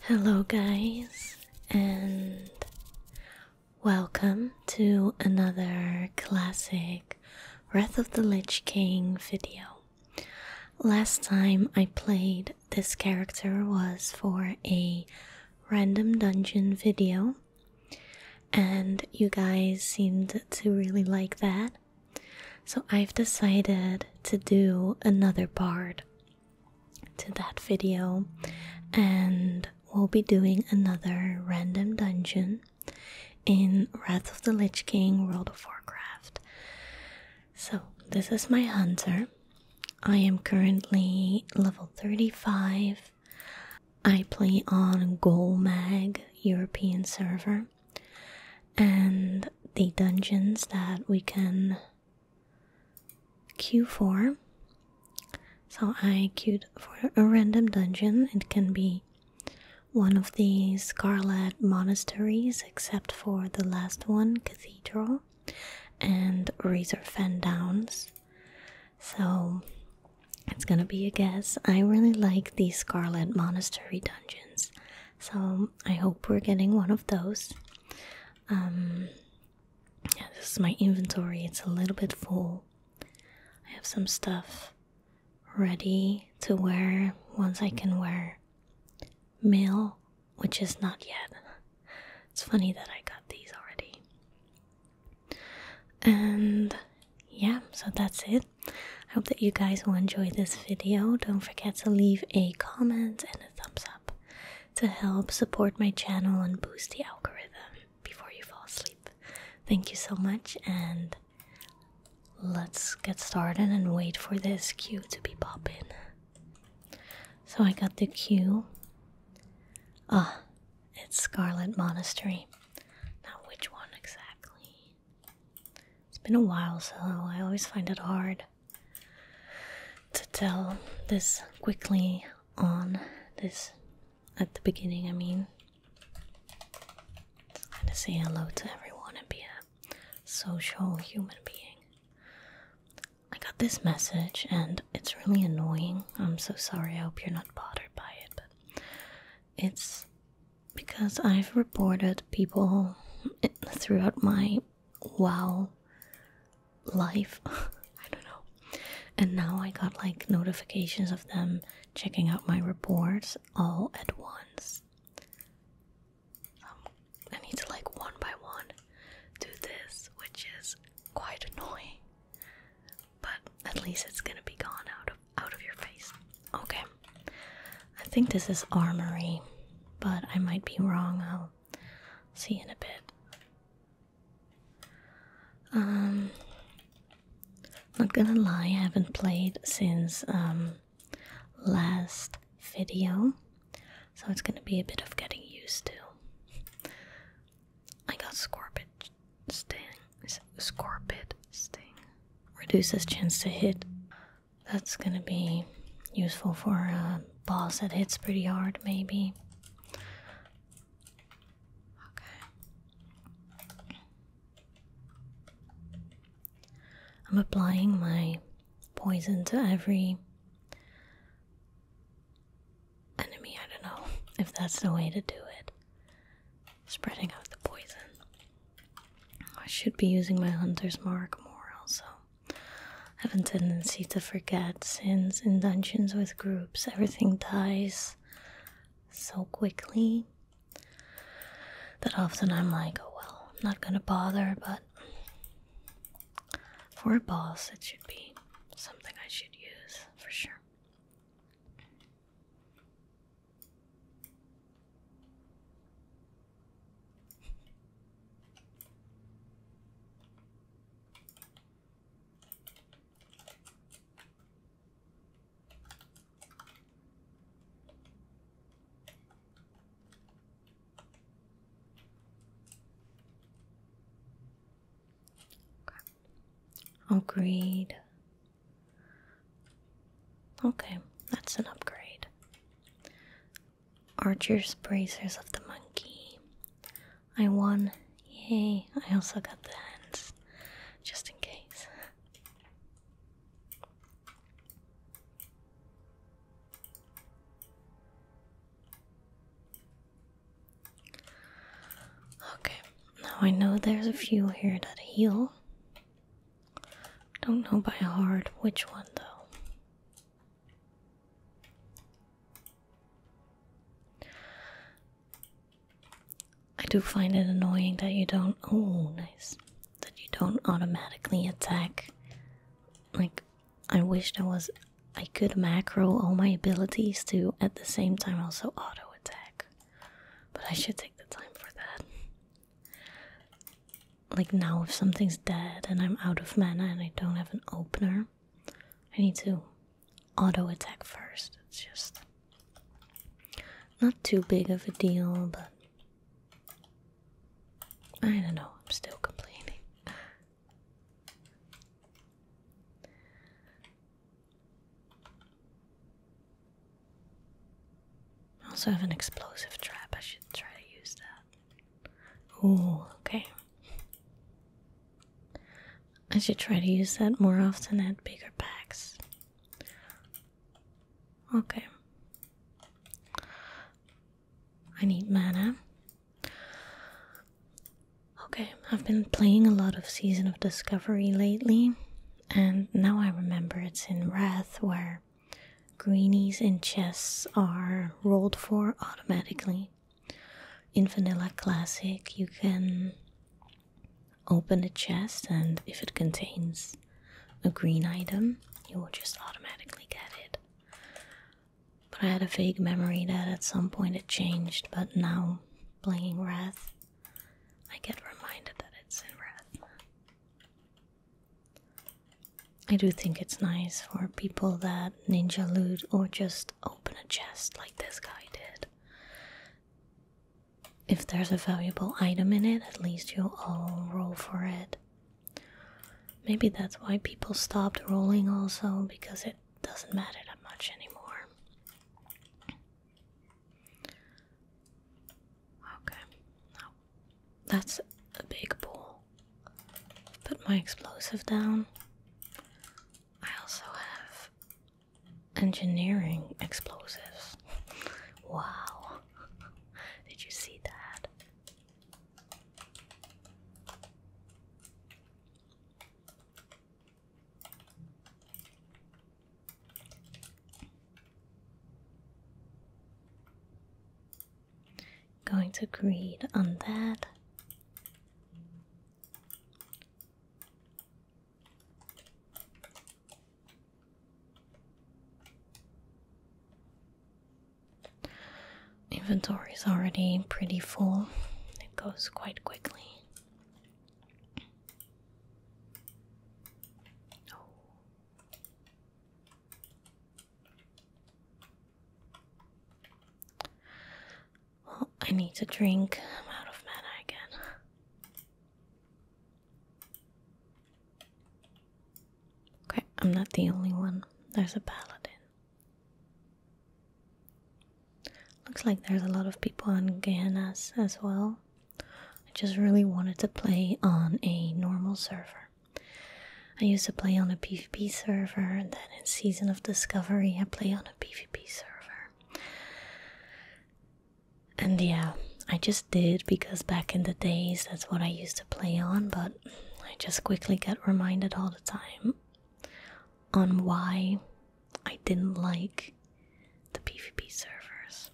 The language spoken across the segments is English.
Hello, guys, and welcome to another classic Wrath of the Lich King video. Last time I played this character was for a random dungeon video, and you guys seemed to really like that. So I've decided to do another part to that video, and we'll be doing another random dungeon in Wrath of the Lich King World of Warcraft. So, this is my hunter. I am currently level 35. I play on Golmag European server and the dungeons that we can queue for. So I queued for a random dungeon. It can be one of these Scarlet Monasteries, except for the last one, Cathedral, and Razor Fan Downs. So it's gonna be a guess. I really like these Scarlet Monastery dungeons so I hope we're getting one of those. Um, yeah, this is my inventory, it's a little bit full. I have some stuff ready to wear Ones I can wear Male, which is not yet. It's funny that I got these already. And yeah, so that's it. I hope that you guys will enjoy this video. Don't forget to leave a comment and a thumbs up to help support my channel and boost the algorithm before you fall asleep. Thank you so much, and let's get started and wait for this cue to be popping. So I got the cue. Ah, it's Scarlet Monastery. Not which one exactly? It's been a while, so I always find it hard to tell this quickly on this at the beginning. I mean, so I'm gonna say hello to everyone and be a social human being. I got this message and it's really annoying. I'm so sorry. I hope you're not bothered by it, but it's because I've reported people throughout my wow life. I don't know. And now I got like notifications of them checking out my reports all at once. Um, I need to like one by one do this, which is quite annoying. But at least it's gonna be gone out of out of your face. Okay. I think this is armory, but I might be wrong. I'll see in a bit. Um not gonna lie, I haven't played since um last video. So it's gonna be a bit of getting used to. I got scorpid sting. Scorpid sting. Reduces chance to hit. That's gonna be useful for a boss that hits pretty hard, maybe. Okay. I'm applying my poison to every enemy. I don't know if that's the way to do it spreading out the poison. I should be using my hunter's mark more also. I have a tendency to forget sins in dungeons with groups everything dies so quickly that often I'm like, oh well, I'm not gonna bother, but for a boss it should be something I should use for sure. Agreed. Okay, that's an upgrade. Archer's Bracers of the Monkey. I won. Yay. I also got the hands, just in case. Okay, now I know there's a few here that heal. Don't know by heart which one though. I do find it annoying that you don't oh nice that you don't automatically attack. Like I wish there was I could macro all my abilities to at the same time also auto attack. But I should take the time for that. Like now, if something's dead and I'm out of mana and I don't have an opener, I need to auto attack first. It's just not too big of a deal, but I don't know, I'm still complaining. I also have an explosive trap. I should try to use that. Oh, okay. I should try to use that more often at bigger packs. Okay. I need mana. Okay, I've been playing a lot of Season of Discovery lately, and now I remember it's in Wrath where greenies and chests are rolled for automatically. In Vanilla Classic, you can open a chest, and if it contains a green item, you will just automatically get it. But I had a vague memory that at some point it changed, but now playing Wrath, I get reminded that it's in Wrath. I do think it's nice for people that ninja loot or just open a chest like this guy did. If there's a valuable item in it, at least you'll roll for it. Maybe that's why people stopped rolling also, because it doesn't matter that much anymore. Okay, that's a big ball. Put my explosive down. I also have engineering explosives. wow, did you see that? Going to create undead. Inventory is already pretty full. It goes quite quickly. Oh. Well, I need to drink. I'm out of mana again. Okay, I'm not the only one. There's a paladin. Looks like there's a lot of people on Ganas as well. I just really wanted to play on a normal server. I used to play on a PvP server, and then in Season of Discovery, I play on a PvP server. And yeah, I just did because back in the days that's what I used to play on, but I just quickly get reminded all the time on why I didn't like the PvP servers.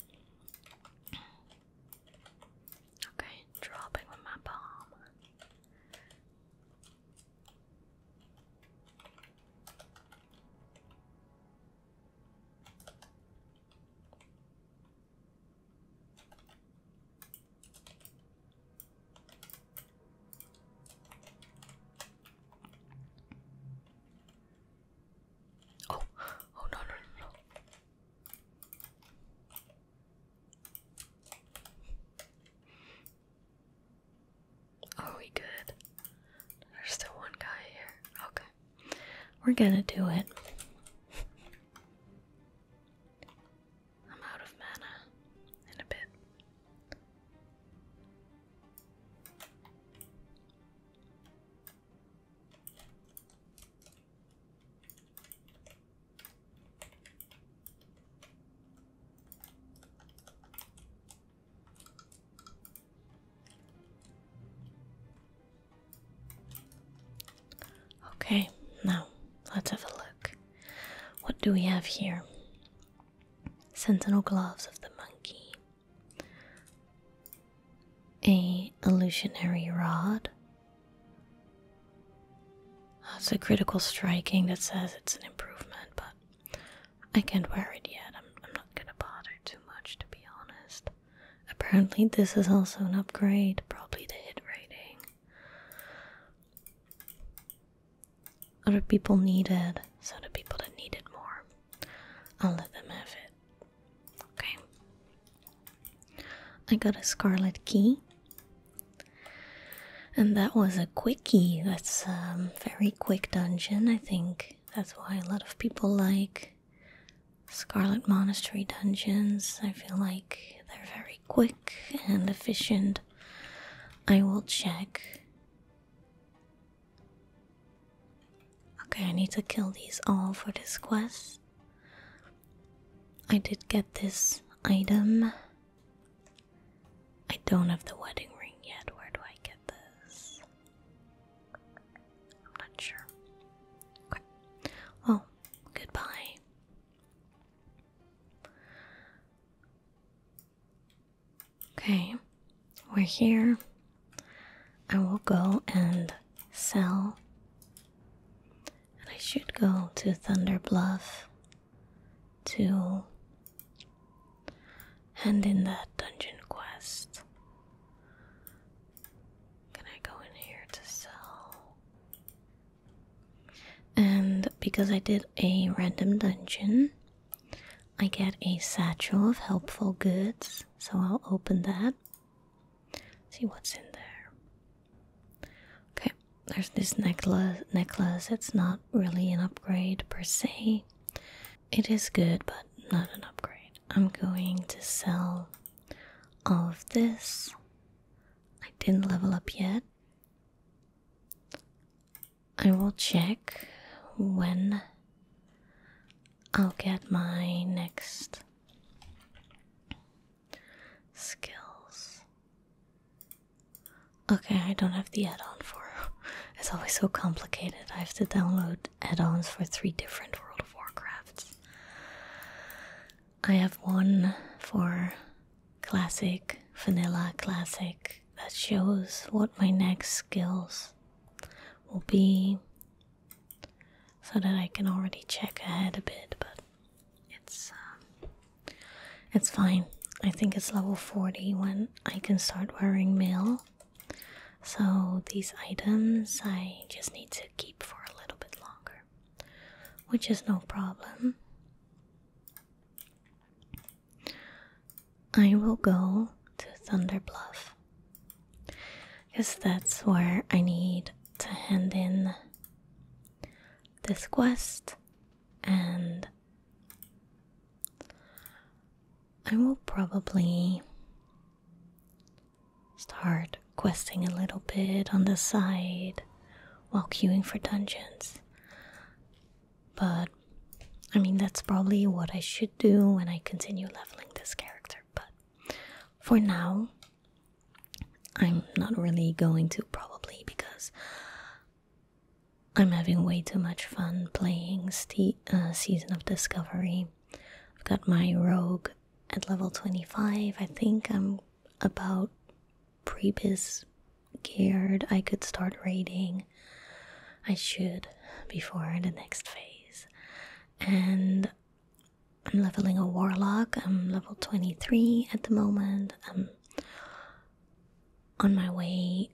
Okay, dropping my bomb. Oh, oh no, no, no, no. Are we good? There's still one guy here. Okay. We're gonna do it. I'm out of mana in a bit. Okay, now let's have a look. What do we have here? sentinel gloves of the monkey, a illusionary rod. It's a critical striking that says it's an improvement, but I can't wear it yet. I'm, not gonna bother too much, to be honest. Apparently, this is also an upgrade, probably the hit rating. Other people need it, so the people that need it more, I'll let them have it. Okay. I got a scarlet key. And that was a quickie. That's a um, very quick dungeon, I think. That's why a lot of people like Scarlet Monastery dungeons. I feel like they're very quick and efficient. I will check. Okay, I need to kill these all for this quest. I did get this item. I don't have the wedding ring yet. Where do I get this? I'm not sure. Okay. goodbye. Okay, we're here. I will go and sell. And I should go to Thunderbluff to end in that dungeon quest. Can I go in here to sell? And because I did a random dungeon, I get a satchel of helpful goods. So I'll open that. See what's in there. Okay, there's this necklace. Necklace. It's not really an upgrade per se. It is good, but not an upgrade. I'm going to sell all of this. I didn't level up yet. I will check when I'll get my next skills. Okay, I don't have the add on for. It's always so complicated. I have to download add ons for three different World of Warcrafts. I have one for classic, vanilla classic, that shows what my next skills will be so that I can already check ahead a bit, but it's um, it's fine. I think it's level 40 when I can start wearing mail. So these items I just need to keep for a little bit longer which is no problem. I will go to Thunder Bluff because that's where I need to hand in this quest, and I will probably start questing a little bit on the side while queuing for dungeons. But I mean, that's probably what I should do when I continue leveling this character. But for now, I'm not really going to, probably because I'm having way too much fun playing uh, Season of Discovery. I've got my rogue at level 25. I think I'm about Prep is geared I could start raiding. I should before the next phase. And I'm leveling a warlock. I'm level 23 at the moment. I'm on my way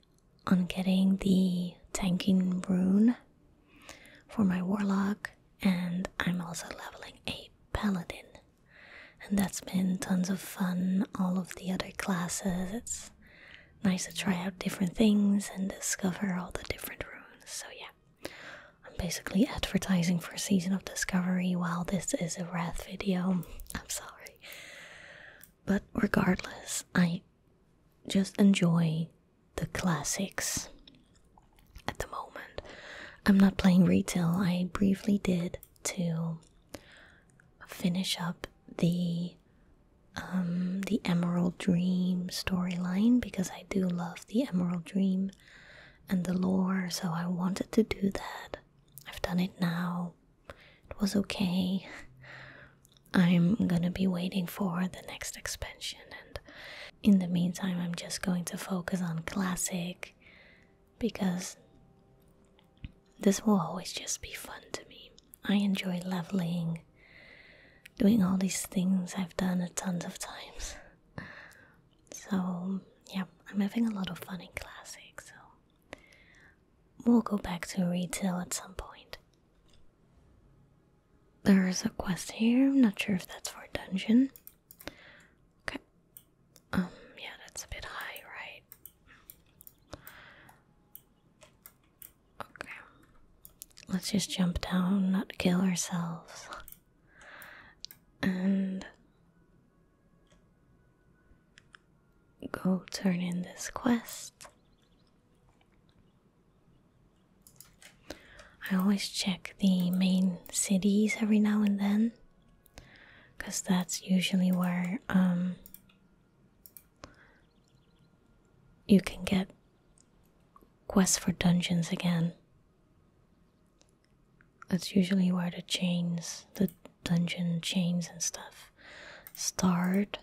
on getting the tanking rune for my warlock and I'm also leveling a paladin and that's been tons of fun. All of the other classes, it's nice to try out different things and discover all the different runes. So, yeah, I'm basically advertising for a Season of Discovery while this is a Wrath video. I'm sorry. But regardless, I just enjoy the classics at the moment, I'm not playing retail. I briefly did to finish up the um, the Emerald Dream storyline because I do love the Emerald Dream and the lore, so I wanted to do that. I've done it now. It was okay. I'm gonna be waiting for the next expansion, and in the meantime, I'm just going to focus on classic because this will always just be fun to me. I enjoy leveling, doing all these things I've done a tons of times. So, yeah, I'm having a lot of fun in classic, so we'll go back to retail at some point. There's a quest here, I'm not sure if that's for dungeon. Okay. Um, yeah, that's a bit high, right? Okay. Let's just jump down, not kill ourselves. And go turn in this quest. I always check the main cities every now and then because that's usually where um, you can get quests for dungeons again. That's usually where the chains, the dungeon chains and stuff start.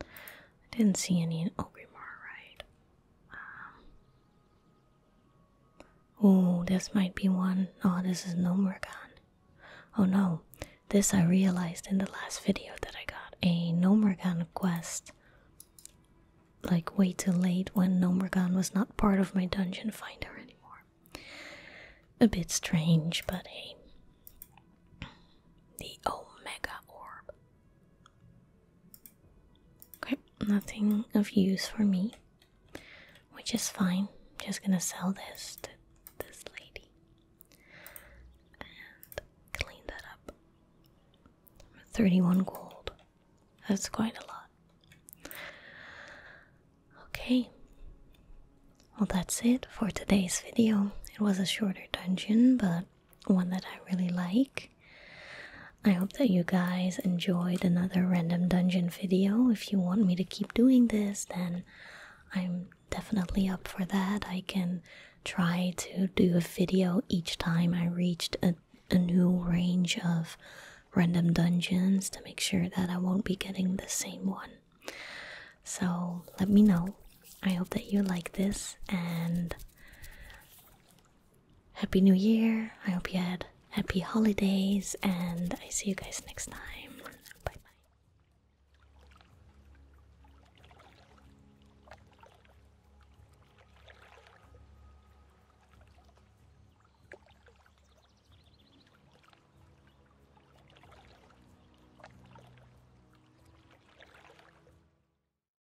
I didn't see any in Ogrimar, right? Um, Oh, this might be one. Oh, this is Nomragon. Oh no, this I realized in the last video that I got a Nomragon quest like way too late when Nomragon was not part of my dungeon finder anymore. A bit strange, but hey. The Omega Orb. Okay, nothing of use for me, which is fine. I'm just gonna sell this to this lady and clean that up. 31 gold. That's quite a lot. Okay. Well, that's it for today's video. It was a shorter dungeon, but one that I really like. I hope that you guys enjoyed another random dungeon video. If you want me to keep doing this, then I'm definitely up for that. I can try to do a video each time I reached a, a new range of random dungeons to make sure that I won't be getting the same one. So let me know. I hope that you like this and Happy New Year. I hope you had happy holidays, and I see you guys next time. Bye bye.